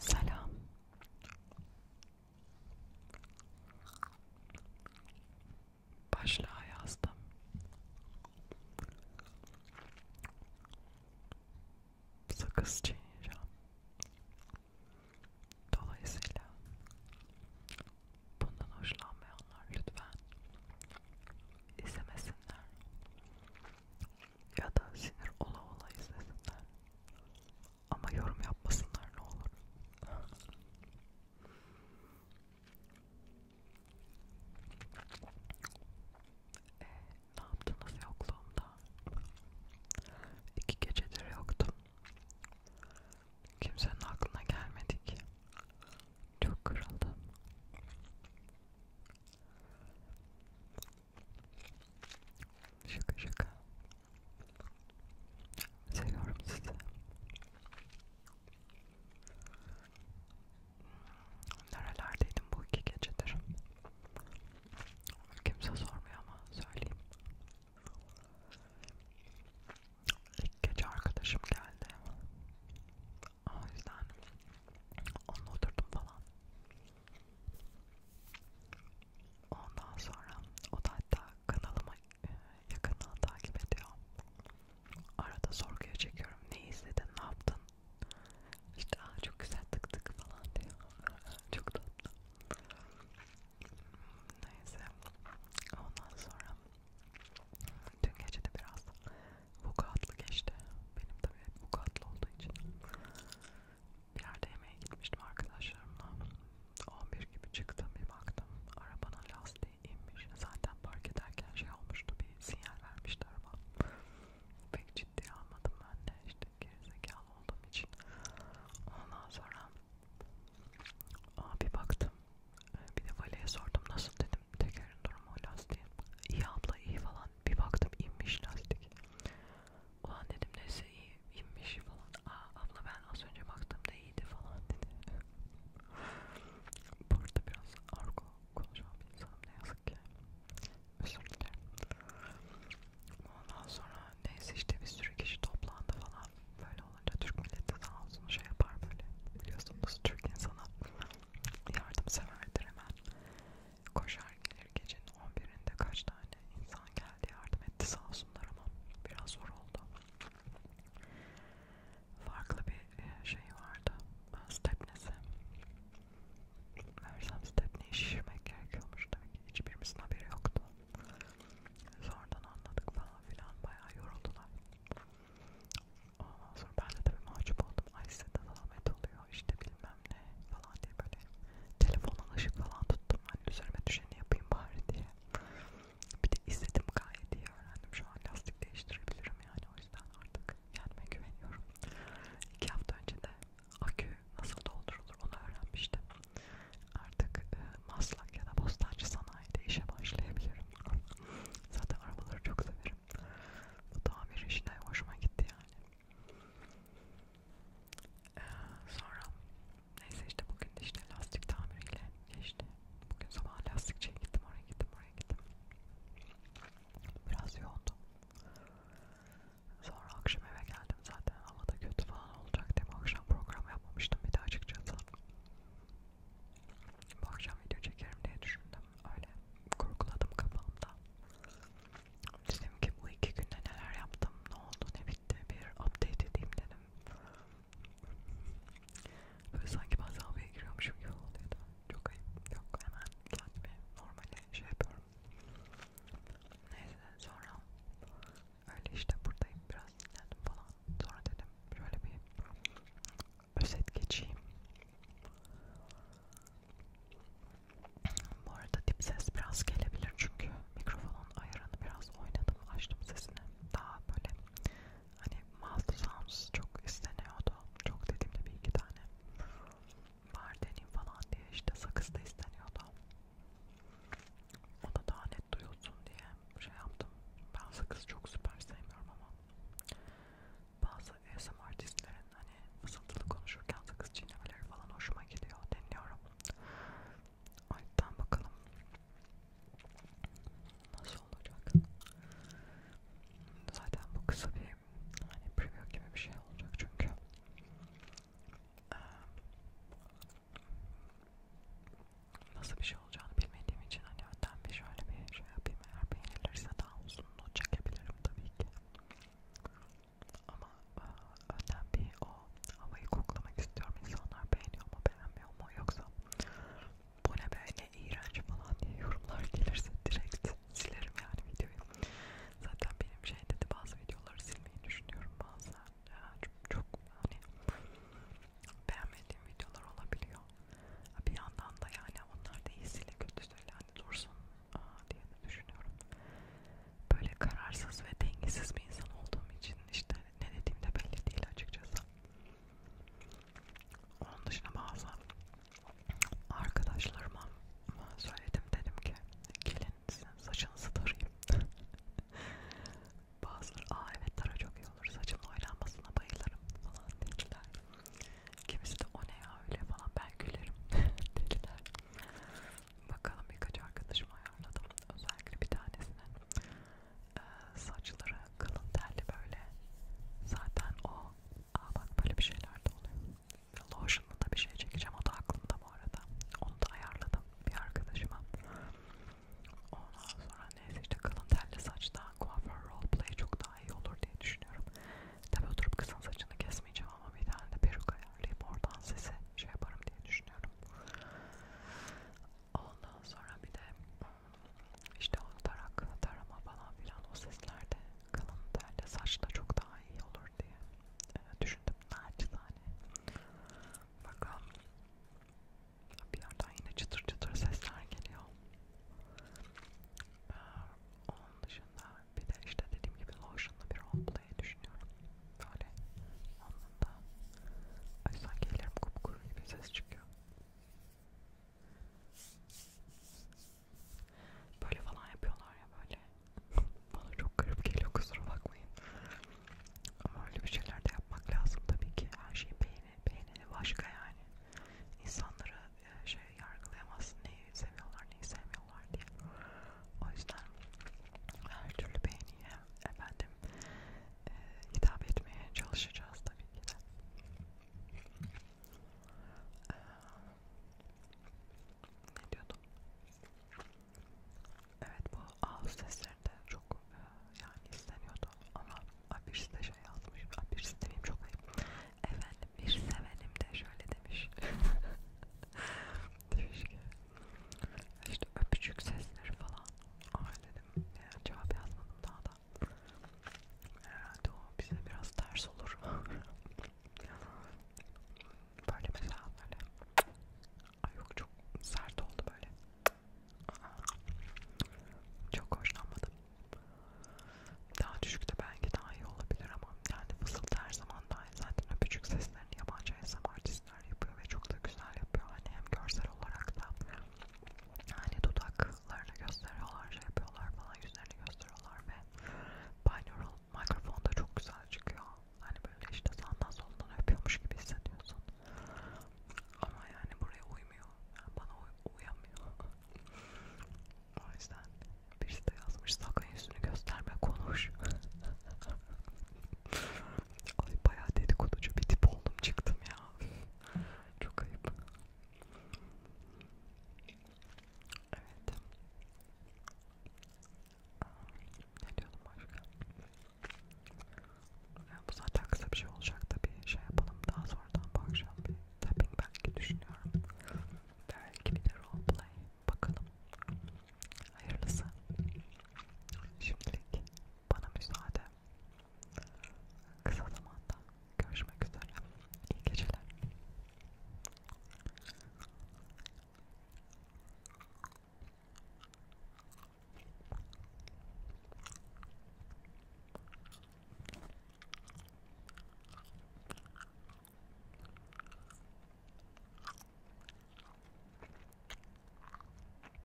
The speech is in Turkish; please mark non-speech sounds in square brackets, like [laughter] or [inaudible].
Selam. Başlığa yazdım. Sakız çiğneyeceğim. Dolayısıyla bundan hoşlanmayanlar lütfen izlemesinler ya da sinir ola ola izlesinler ama yorum yapmasınlar ne olur. E, ne yaptınız yokluğumda? İki gecedir yoktum. Kimsenin aklına gelmedi ki. Çok kırıldım. Şaka şaka. Seviyorum sizi. Nerelerdeydim bu iki gecedir? Kimse sormuyor ama söyleyeyim. İlk gece arkadaşım geldi. O yüzden onunla oturdum falan. Ondan sonra o da hatta kanalıma e, yakından takip ediyor. Arada sorguya çekiyorum. Ne izledin, ne yaptın? İşte Aa, çok güzel tık tık falan diyor. [laughs] çok tatlı. Neyse. Ondan sonra Dün gece de biraz vukuatlı geçti. Benim tabii hep vukuatlı olduğu için. Bir yerde yemeğe gitmiştim arkadaşlarımla. 11 gibi çıktım bir baktım. Arabanın lastiği inmiş. Zaten park ederken şey olmuştu. Bir sinyal vermişti araba. Pek ciddiye almadım ben de. İşte gerizekalı olduğum için. Ondan sonra Aa, bir baktım. Ee, bir de valeye sordum nasıl dedim tekerin durumu lastiğin iyi abla iyi falan bir baktım inmiş lastik ulan dedim neyse iyi inmiş falan aa abla ben az önce baktığımda iyiydi falan dedi burada biraz argo konuşan bir insanım ne yazık ki özür dilerim ondan sonra neyse işte bir sürü kişi toplandı falan böyle olunca Türk milleti sağ olsun şey yapar böyle biliyorsunuz Türk insana yardımseverdir hemen koşar gelir gecenin 11'inde kaç tane insan geldi yardım etti sağ olsunlar ama biraz zor oldu farklı bir e, şey vardı e, stepnesi Mersem stepneyi şişirmek gerekiyormuş tabii ki hiçbirimizin haberi yoktu Sonradan anladık falan filan bayağı yoruldular Ondan sonra ben de tabii mahcup oldum. Ay size de zahmet oluyor işte bilmem ne falan diye böyle telefonla ışık falan tuttum. Hani üzerime düşeni yapayım bari diye. Bir de izledim gayet iyi öğrendim. Şu an lastik değiştirebilirim yani o yüzden artık kendime güveniyorum. İki hafta önce de akü nasıl doldurulur onu öğrenmiştim artık e, Maslak ya da Bostancı Sanayi'de işe başlayabilirim. Zaten arabaları çok severim. Bu tamir işine hoşuma gitti yani. Ee, sonra neyse işte bugün işte lastik tamiriyle geçti. Bugün sabah lastikçiye gittim, oraya gittim, oraya gittim. Biraz yoğundu. Sonra akşam eve geldim zaten. Havada kötü falan olacak diye akşam program yapmamıştım bir de açıkçası. Bu akşam video çekerim diye düşündüm. Öyle kurguladım kafamda. Dedim ki bu iki günde neler yaptım, ne oldu, ne bitti bir update edeyim dedim. Böyle sanki ben havaya giriyormuşum gibi oluyordu. Çok ayıp. Yok hemen kendimi normale şey yapıyorum. Neyse sonra öyle işte buradayım biraz dinlendim falan sonra dedim şöyle bir özet geçeyim bu arada dip ses biraz gelebilir çünkü mikrofonun ayarını biraz oynadım açtım sesini daha böyle hani mouth sounds çok isteniyordu çok dediğimde bir iki tane var deneyim falan diye işte sakız da isteniyordu o da daha net duyulsun diye şey yaptım. Ben sakız çok süper sevmiyorum ama bazı ASMR artistlerin hani fısıltılı konuşurken sakız çiğnemeleri falan hoşuma gidiyor. Dinliyorum. O yüzden bakalım nasıl olacak. Zaten bu kısa bir hani preview gibi bir şey olacak çünkü nasıl bir şey olacağını bilmediğim için hani önden bir şöyle bir şey yapayım eğer beğenilirse daha uzunluğu çekebilirim tabii ki ama önden bir o havayı koklamak istiyorum insanlar beğeniyor mu beğenmiyor mu yoksa bu ne böyle iğrenç falan diye yorumlar gelirse direkt silerim yani videoyu Zaten benim şey dedi bazı videoları silmeyi düşünüyorum bazen. Ya çok, çok hani beğenmediğim videolar olabiliyor. Bir yandan da yani onlar da iyisiyle kötüsüyle hani dursun diye de düşünüyorum. Böyle kararsız ve dengesiz bir insan olduğum için işte ne dediğim de belli değil açıkçası. Onun dışında bazı arkadaşlarıma söyledim dedim ki gelin sizin saçınızı tarayayım. [laughs] Bazıları aa evet tara çok iyi olur saçımın oynanmasına bayılırım falan dediler. Kimisi de o ne ya öyle falan ben gülerim [laughs] dediler. Bakalım birkaç arkadaşım ayarladım. Özellikle bir tanesinin ee, saçları kalın telli böyle. Zaten o aa bak böyle bir şeyler de oluyor. Lotion'la da bir şey çekeceğim. O da aklımda bu arada. Onu da ayarladım bir arkadaşıma. Ondan sonra neyse işte kalın telli saçta kuaför roleplay çok daha iyi olur diye düşünüyorum. Tabi oturup kızın saçını kesmeyeceğim ama bir tane de peruk ayarlayıp oradan sesi şey yaparım diye düşünüyorum. Ondan sonra bir de işte o tarak, tarama falan filan o seslerde kalın telle saçla çok daha iyi olur diye e, düşündüm naçizane. Bakalım bir yerden yine çıtır çıtır sesler geliyor. Ee, onun dışında bir de işte dediğim gibi lotion'lu bir roleplay düşünüyorum. Böyle anında ay sanki ellerim kupkuru gibi ses çıkıyor. Böyle falan yapıyorlar ya böyle. [laughs] Bana çok garip geliyor kusura bakmayın. Ama öyle bir şeyler de yapmak lazım tabii ki. Her şeyi beğeni, beğeneni başka yani. İnsanları e, şey yargılayamazsın neyi seviyorlar neyi sevmiyorlar diye. O yüzden her türlü beğeniye efendim e, hitap etmeye çalışacağız tabii ki de. Ee, ne diyordum? Evet bu ağız seslerinde çok e, yani isteniyordu ama Abirsi de şey yazmış, Abirsi demeyeyim çok ayıp. Efendim bir sevenim de şöyle demiş. [laughs] demiş ki işte öpücük sesleri falan. Aa dedim ya, cevap yazmadım daha da herhalde o bize biraz ters olur. [laughs] böyle mesela böyle. Ay yok çok sert oldu böyle. Çok hoşlanmadım. Daha düşükte belki daha iyi olabilir ama yani fısıltı her zaman daha iyi. Zaten öpücük seslerini yabancı ASMR artistler yapıyor ve çok da güzel yapıyor. Hani hem görsel olarak da hani dudaklarını gösteriyorlar, şey yapıyorlar falan, yüzlerini gösteriyorlar ve binaural mikrofon da çok güzel çıkıyor. Hani böyle işte sağdan soldan öpüyormuş gibi hissediyorsun. Ama yani buraya uymuyor. Yani bana uy uyamıyor. [laughs] o yüzden birisi de yazmış sakın yüzünü gösterme konuş. [laughs] Ay bayağı dedikoducu bir tip oldum çıktım ya. Çok ayıp. Evet. Ne diyordum başka? Yani bu zaten kısa bir şey olacak da bir şey yapalım daha sonradan bu akşam bir tapping belki düşünüyorum. Belki bir de roleplay bakalım. Hayırlısı. Şimdilik bana müsaade. Kısa zamanda görüşmek üzere. İyi geceler.